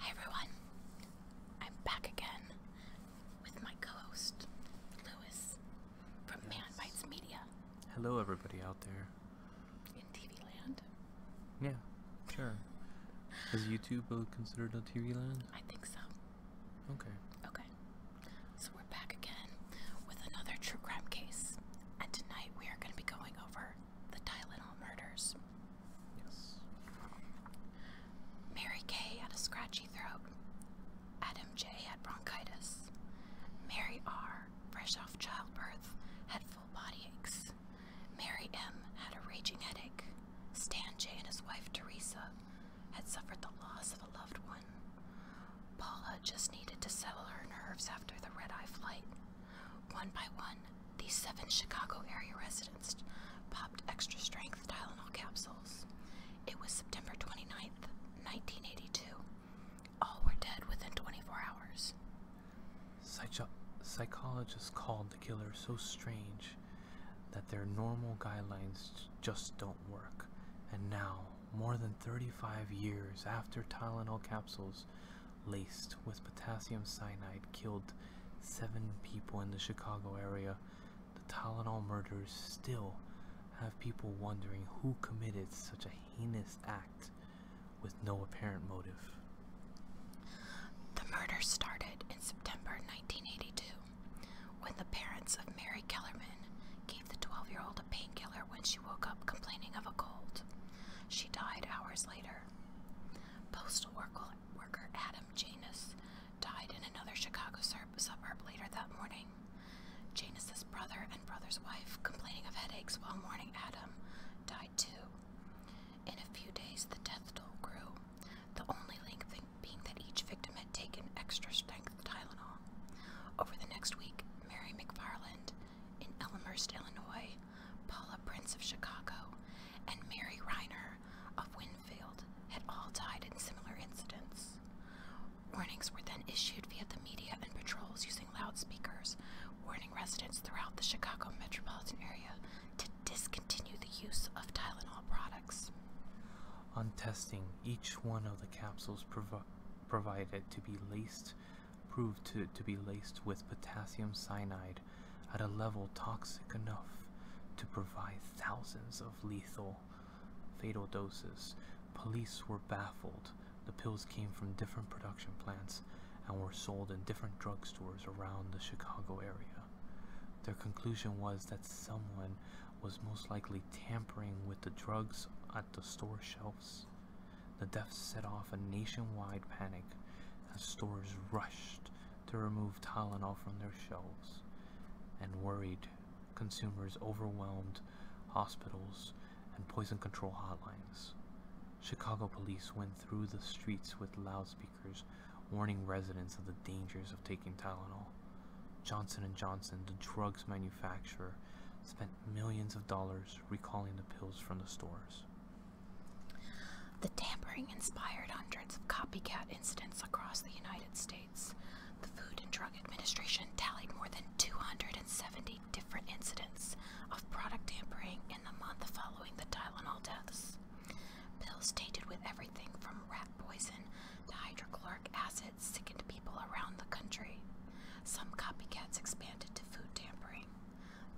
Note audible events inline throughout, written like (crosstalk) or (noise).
Hi everyone, I'm back again with my co-host Lewis from Man Bites Media. Hello, everybody out there in TV Land. Yeah, sure. Is YouTube uh, considered a TV Land? I think so. Okay. Okay. So we're back again with another true crime case. And tonight we are going to be going over the Tylenol murders. Yes. Mary K had a scratchy throat. Adam J had bronchitis. Mary R, fresh off childbirth, had full body aches. Mary M had a raging headache. Stan J and his wife Teresa had suffered the loss of a loved one. Paula just needed to settle her nerves after the red eye flight. One by one, these seven Chicago area residents popped extra strength Tylenol capsules. It was September 29th, 1982. All were dead within 24 hours. psychologists called the killer so strange that their normal guidelines just don't work, and now, more than 35 years after Tylenol capsules laced with potassium cyanide killed seven people in the Chicago area, the Tylenol murders still have people wondering who committed such a heinous act with no apparent motive. The murder started in September 1982 when the parents of Mary Kellerman gave the 12 year old a painkiller when she woke up complaining of a cold, she died hours later. Postal worker Adam Janus died in another Chicago suburb later that morning. Janus's brother and brother's wife, complaining of headaches while mourning Adam, died too. In a few days, the death toll grew. The only link being that each victim had taken extra strength Tylenol. Over the next week, Mary McFarland in Elmhurst, Illinois, Paula Prince of Chicago, and Mary Reiner of Winfield had all died in similar incidents. Warnings were then issued via the media and patrols using loudspeakers, warning residents throughout the Chicago metropolitan area to discontinue the use of Tylenol products. On testing, each one of the capsules provided to be laced proved to be laced with potassium cyanide at a level toxic enough to provide thousands of lethal fatal doses. Police were baffled. The pills came from different production plants and were sold in different drugstores around the Chicago area. Their conclusion was that someone was most likely tampering with the drugs at the store shelves. The theft set off a nationwide panic as stores rushed to remove Tylenol from their shelves, and worried consumers overwhelmed hospitals and poison control hotlines. Chicago police went through the streets with loudspeakers warning residents of the dangers of taking Tylenol. Johnson & Johnson, the drugs manufacturer, spent millions of dollars recalling the pills from the stores. The tampering inspired hundreds of copycat incidents across the United States. The Food and Drug Administration tallied more than 270 different incidents of product tampering in the month following the Tylenol deaths. Pills tainted with everything from rat poison to hydrochloric acid sickened people around the country. Some copycats expanded to food tampering.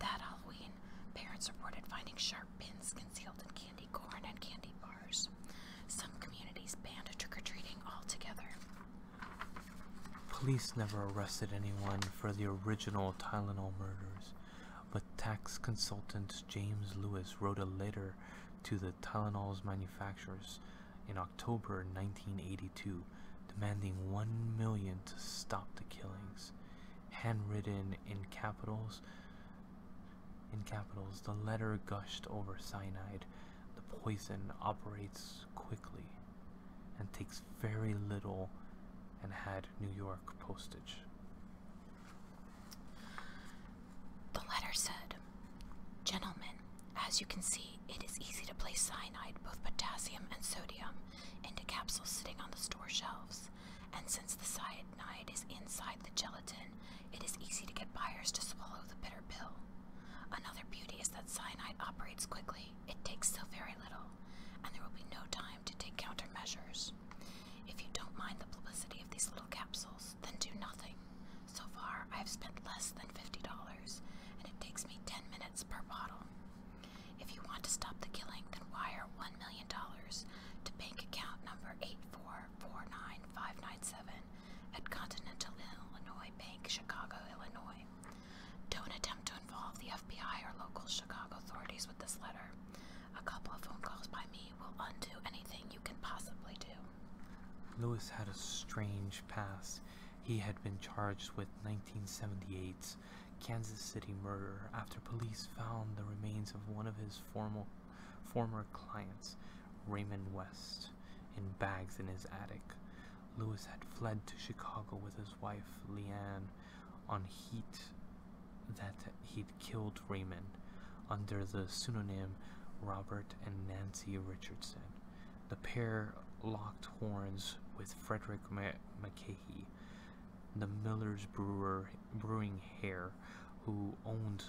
That Halloween, parents reported finding sharp pins concealed in candy corn and candy bars. Some communities banned trick or treating altogether. Police never arrested anyone for the original Tylenol murders, but tax consultant James Lewis wrote a letter to the Tylenol's manufacturers in October 1982, demanding one million to stop the killings. Handwritten in capitals, in capitals, the letter gushed over cyanide. The poison operates quickly and takes very little and had New York postage. The letter said, Gentlemen, as you can see, it is easy to place cyanide, both potassium and sodium, into capsules sitting on the store shelves. And since the cyanide is inside the gelatin, it is easy to get buyers to swallow the bitter pill. Another beauty is that cyanide operates quickly, it takes so very little, and there will be no time to take countermeasures. If you don't mind the publicity of these little capsules, then do nothing. So far, I have spent less than $50, and it takes me 10 minutes per bottle. If you want to stop the killing, then wire $1 million to bank account number 8449597 at Continental Illinois Bank, Chicago, Illinois. Don't attempt to involve the FBI or local Chicago authorities with this letter. A couple of phone calls by me will undo anything you possibly do. Lewis had a strange past. He had been charged with 1978's Kansas City murder after police found the remains of one of his formal, former clients, Raymond West, in bags in his attic. Lewis had fled to Chicago with his wife, Leanne, on heat that he'd killed Raymond under the pseudonym Robert and Nancy Richardson. The pair locked horns with Frederick McKay, the Miller's brewer, brewing hare, who owned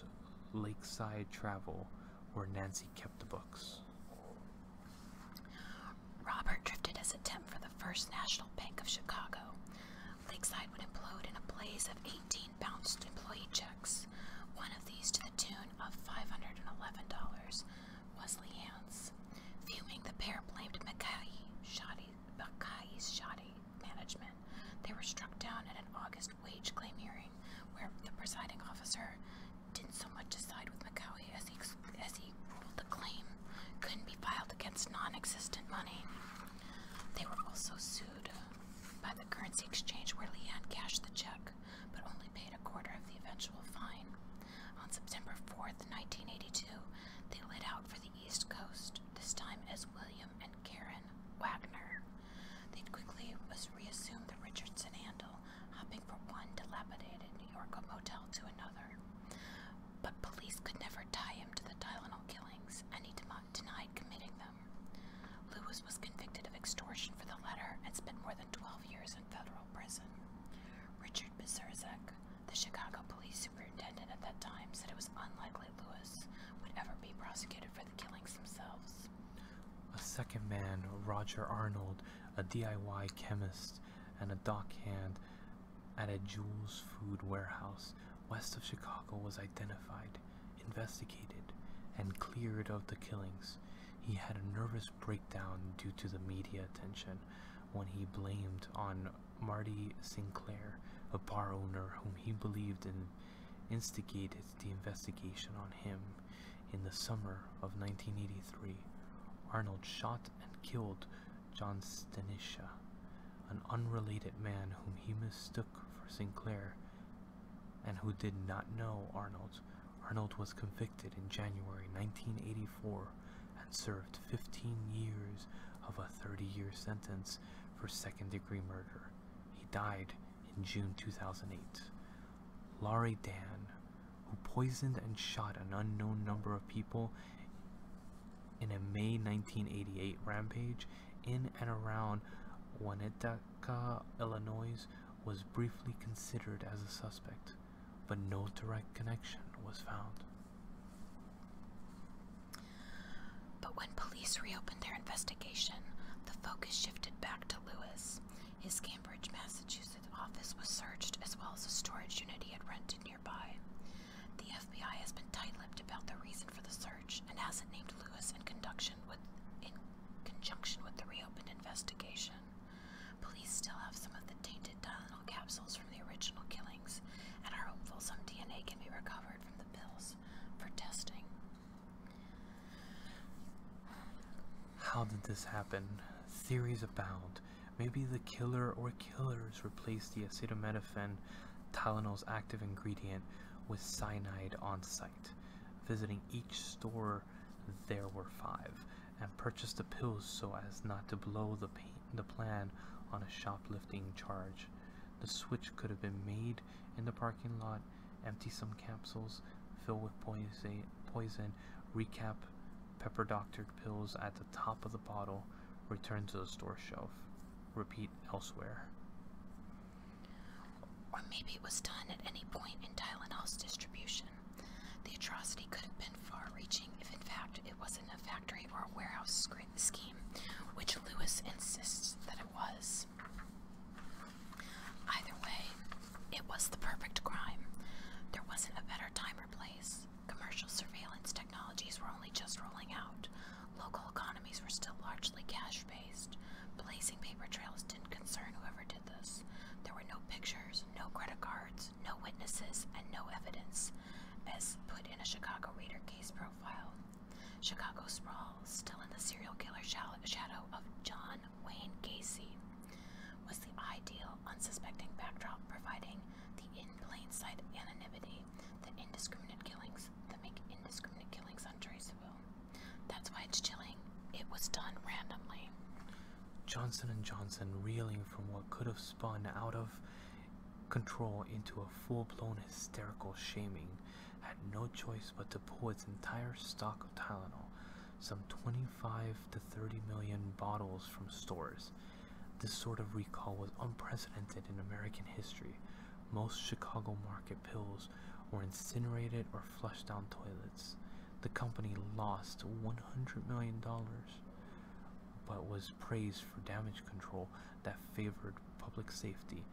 Lakeside Travel, where Nancy kept the books. Robert drifted as a temp for the First National Bank of Chicago. Lakeside would implode in a blaze of 18 bounced employee checks, one of these to the tune of $511 was Leanne's. Fuming, the pair blamed Mackay's shoddy, shoddy management. They were struck down at an August wage claim hearing where the presiding officer didn't so much decide with Macaulay as he, as he ruled the claim couldn't be filed against non-existent money. They were also sued by the currency exchange where Leanne cashed the check but only paid a quarter of the eventual fine. On September 4, 1982, they lit out for the East Coast, this time as William and Karen Wagner. They quickly was reassumed the Richardson handle, hopping from one dilapidated New York motel to another. But police could never tie him to the Tylenol killings, and he denied committing them. Lewis was convicted of extortion for the letter and spent more than 12 years in federal prison. Richard Bezerzek, the Chicago police superintendent at that time, said it was unlikely Lewis would ever be prosecuted for the killings themselves. A second man, Roger Arnold, a DIY chemist and a dockhand at a Jules food warehouse west of Chicago, was identified investigated and cleared of the killings, he had a nervous breakdown due to the media attention when he blamed on Marty Sinclair, a bar owner whom he believed in instigated the investigation on him. In the summer of 1983, Arnold shot and killed John Stenisha, an unrelated man whom he mistook for Sinclair and who did not know Arnold. Arnold was convicted in January 1984 and served 15 years of a 30 year sentence for second degree murder. He died in June 2008. Laurie Dan, who poisoned and shot an unknown number of people in a May 1988 rampage in and around Winnetka, Illinois, was briefly considered as a suspect, but no direct connection was found. But when police reopened their investigation, the focus shifted back to Lewis. His Cambridge, Massachusetts office was searched as well as a storage unit he had rented nearby. The FBI has been tight lipped about the reason for the search and hasn't named Lewis in connection with conjunction with the reopened investigation, police still have some of the tainted Tylenol capsules from the original killings and are hopeful some DNA can be recovered from the pills for testing. How did this happen? Theories abound. Maybe the killer or killers replaced the acetaminophen, Tylenol's active ingredient, with cyanide on site. Visiting each store, there were five, and purchased the pills so as not to blow the, plan on a shoplifting charge. The switch could have been made in the parking lot, empty some capsules, fill with poison, poison recap pepper doctored pills at the top of the bottle, return to the store shelf, repeat elsewhere. Or maybe it was done at any point in Tylenol's distribution. The atrocity could have been far reaching if, in fact, it wasn't a factory or warehouse scheme, which Lewis insists that it was. Either way, it was the perfect crime. There wasn't a better time or place. Commercial surveillance technologies were only just rolling out. Local economies were still largely cash based. Blazing paper trails didn't concern whoever did there were no pictures, no credit cards, no witnesses, and no evidence, as put in a Chicago Reader case profile. Chicago sprawl, still in the serial killer shadow of John Wayne Gacy, was the ideal, unsuspecting backdrop, providing the in plain sight anonymity that indiscriminate killings that make indiscriminate killings untraceable. That's why it's chilling. It was done randomly. Johnson and Johnson reeling from what could have spun out of control into a full-blown hysterical shaming had no choice but to pull its entire stock of Tylenol, some 25 to 30 million bottles from stores. This sort of recall was unprecedented in American history. Most Chicago market pills were incinerated or flushed down toilets the company lost $100 million but was praised for damage control that favored public safety,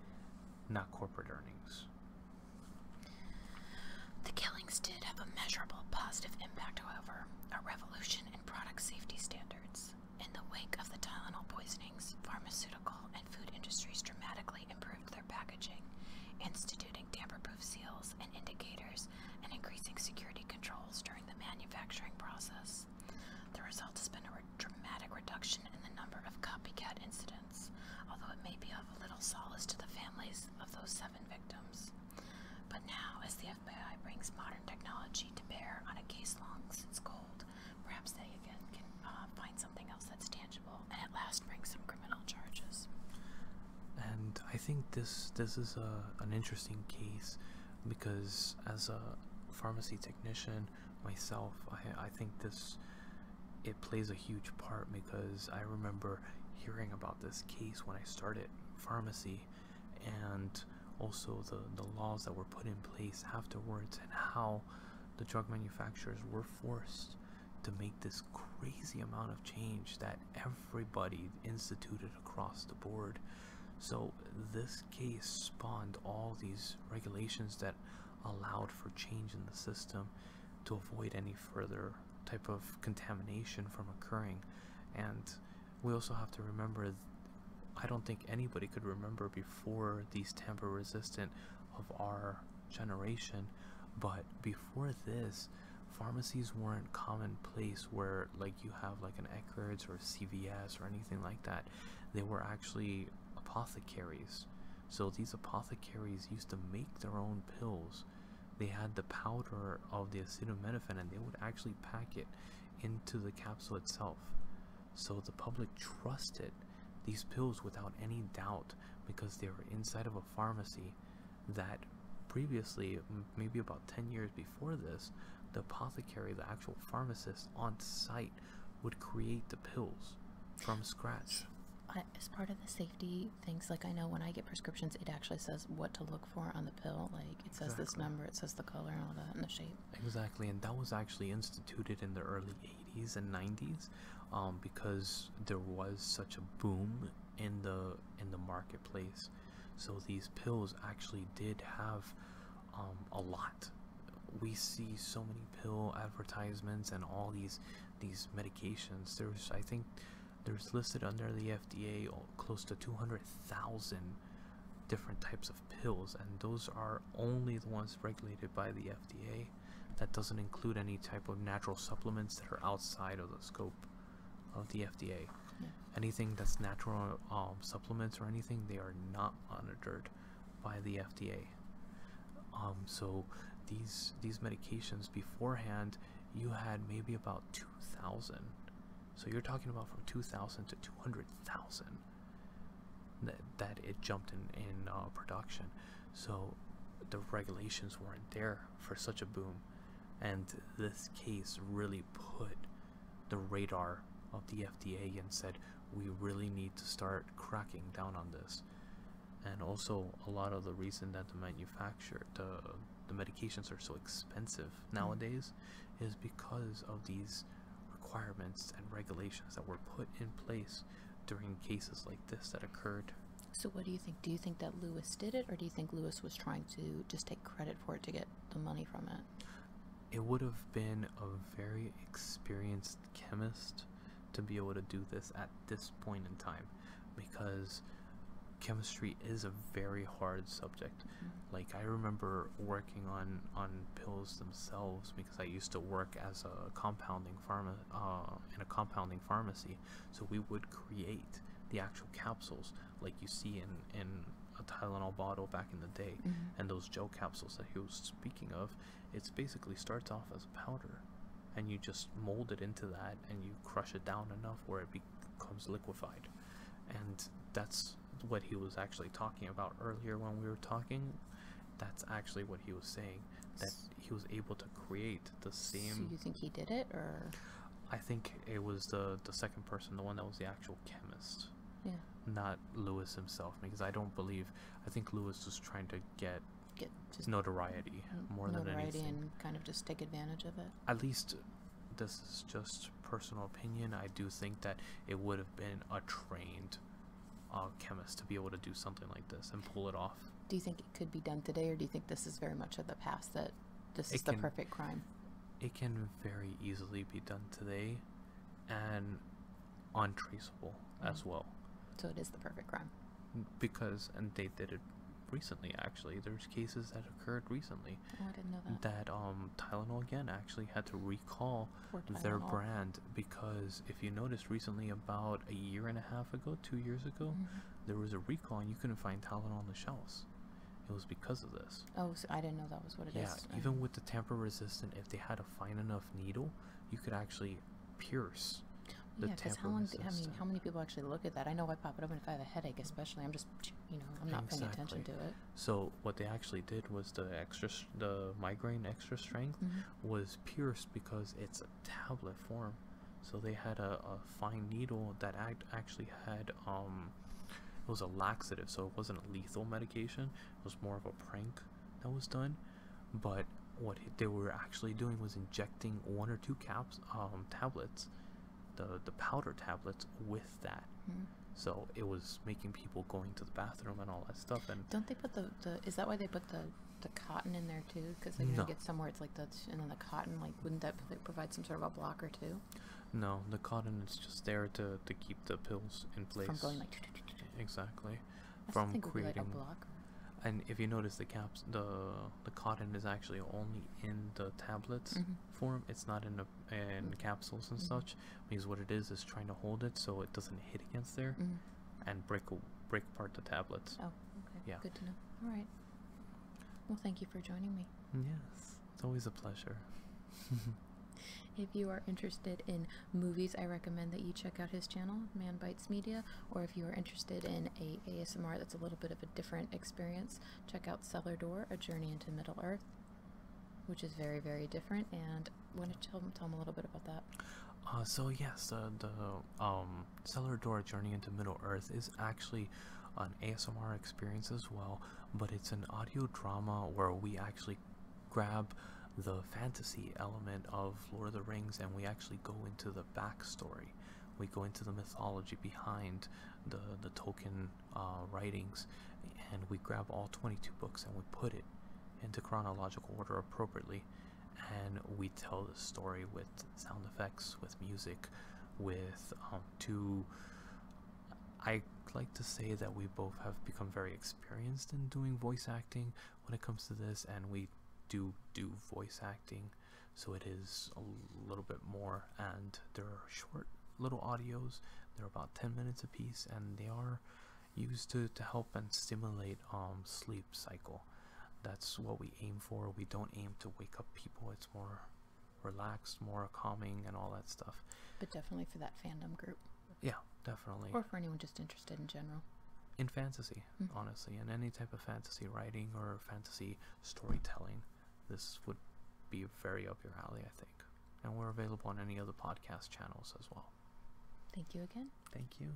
not corporate earnings. The killings did have a measurable positive impact, however, a revolution in product safety standards. In the wake of the Tylenol poisonings, pharmaceutical and food industries dramatically improved their packaging, instituting tamper-proof seals and indicators, and increasing security controls during the manufacturing process. The result has been a dramatic reduction in the number of copycat incidents, although it may be of little solace to the families of those seven victims. But now, as the FBI brings modern technology to bear on a case long since cold, perhaps they again can uh, find something else that's tangible and at last bring some criminal charges and I think this this is a an interesting case because as a pharmacy technician myself, I I think this it plays a huge part because I remember hearing about this case when I started pharmacy and also the the laws that were put in place afterwards and how the drug manufacturers were forced to make this crazy amount of change that everybody instituted across the board. So, this case spawned all these regulations that allowed for change in the system to avoid any further type of contamination from occurring. And we also have to remember I don't think anybody could remember before these tamper resistant of our generation but before this pharmacies weren't commonplace where like you have like an Eckerd's or CVS or anything like that they were actually apothecaries so these apothecaries used to make their own pills they had the powder of the acetaminophen and they would actually pack it into the capsule itself so the public trusted these pills without any doubt because they were inside of a pharmacy that previously, maybe about 10 years before this, the apothecary, the actual pharmacist on site, would create the pills from scratch. as part of the safety things, like I know when I get prescriptions, it actually says what to look for on the pill. Like it says this number, it says the color, and all that, and the shape. Exactly, and that was actually instituted in the early 80s and 90s um, because there was such a boom in the in the marketplace so these pills actually did have um, a lot we see so many pill advertisements and all these these medications there's i think there's listed under the fda oh, close to 200000 different types of pills and those are only the ones regulated by the fda that doesn't include any type of natural supplements that are outside of the scope of the FDA. Anything that's natural um, supplements or anything, they are not monitored by the FDA. Um, so these these medications beforehand, you had maybe about two thousand. So you're talking about from two thousand to two hundred thousand that that it jumped in in uh, production. So the regulations weren't there for such a boom and this case really put the radar of the FDA and said we really need to start cracking down on this and also a lot of the reason that the manufacturer the the medications are so expensive mm. nowadays is because of these requirements and regulations that were put in place during cases like this that occurred so, what do you think? Do you think that Lewis did it, or do you think Lewis was trying to just take credit for it to get the money from it? It would have been a very experienced chemist to be able to do this at this point in time because chemistry is a very hard subject. Mm-hmm. Like I remember working on on pills themselves because I used to work as a compounding pharma uh, in a compounding pharmacy, so we would create the actual capsules like you see in, a Tylenol bottle back in the day. Mm-hmm. And those gel capsules that he was speaking of, it basically starts off as a powder. And you just mold it into that and you crush it down enough where it becomes liquefied. And that's what he was actually talking about earlier when we were talking. That's actually what he was saying. That he was able to create the same. So you think he did it, or? I think it was the the second person, the one that was the actual chemist. Yeah. Not Lewis himself, because I don't believe. I think Lewis was trying to get get just notoriety more than anything. and kind of just take advantage of it. At least this is just personal opinion. I do think that it would have been a trained uh, chemist to be able to do something like this and pull it off. Do you think could be done today, or do you think this is very much of the past that this is the perfect crime? It can very easily be done today and untraceable as mm. well. So it is the perfect crime. Because, and they did it recently actually. There's cases that occurred recently. Oh, I didn't know that. That um, Tylenol again actually had to recall their brand because if you noticed recently, about a year and a half ago, two years ago, mm-hmm. there was a recall and you couldn't find Tylenol on the shelves. It was because of this. Oh, I didn't know that was what it is. yeah, even oh. with the tamper resistant, if they had a fine enough needle, you could actually pierce the yeah, because how many people actually look at that? I know I pop it open if I have a headache, especially. I'm just, you know, I'm not paying attention to it. So what they actually did was the extra, the migraine extra strength mm-hmm. was pierced because it's a tablet form. So they had a, a fine needle that act actually had um, it was a laxative, so it wasn't a lethal medication. It was more of a prank that was done. But what they were actually doing was injecting one or two caps um, tablets, the the powder tablets with that. Hmm. So it was making people going to the bathroom and all that stuff. And don't they put the, the is that why they put the the cotton in there too? Because they're get somewhere it's like the and then the cotton like wouldn't that provide some sort of a blocker too? No, the cotton is just there to to keep the pills in place. From going like exactly, from creating like a blocker. And if you notice, the caps the the cotton is actually only in the tablets mm-hmm. form. It's not in the in mm-hmm. capsules and mm-hmm. such Means what it is is trying to hold it so it doesn't hit against there, and break break apart the tablets. Oh, okay. Good to know. All right. Well, thank you for joining me. Yes, it's always a pleasure. (laughs) if you are interested in movies, I recommend that you check out his channel, Man Bites Media, or if you are interested in a ASMR that's a little bit of a different experience, check out Cellar Door, A Journey into Middle Earth, which is very, very different, and want to tell, tell them a little bit about that? Uh, so yes, uh, the um, Cellar Door Journey into Middle Earth is actually an ASMR experience as well, but it's an audio drama where we actually grab the fantasy element of Lord of the Rings and we actually go into the backstory. We go into the mythology behind the, the Tolkien uh, writings and we grab all 22 books and we put it into chronological order appropriately and we tell the story with sound effects, with music, with um, two. I like to say that we both have become very experienced in doing voice acting when it comes to this, and we do do voice acting, so it is a little bit more. And there are short little audios; they're about 10 minutes apiece, and they are used to to help and stimulate um sleep cycle. That's what we aim for. We don't aim to wake up people. It's more relaxed, more calming, and all that stuff. But definitely for that fandom group. Yeah, definitely. Or for anyone just interested in general. In fantasy, mm-hmm. honestly, in any type of fantasy writing or fantasy storytelling, this would be very up your alley, I think. And we're available on any other podcast channels as well. Thank you again. Thank you.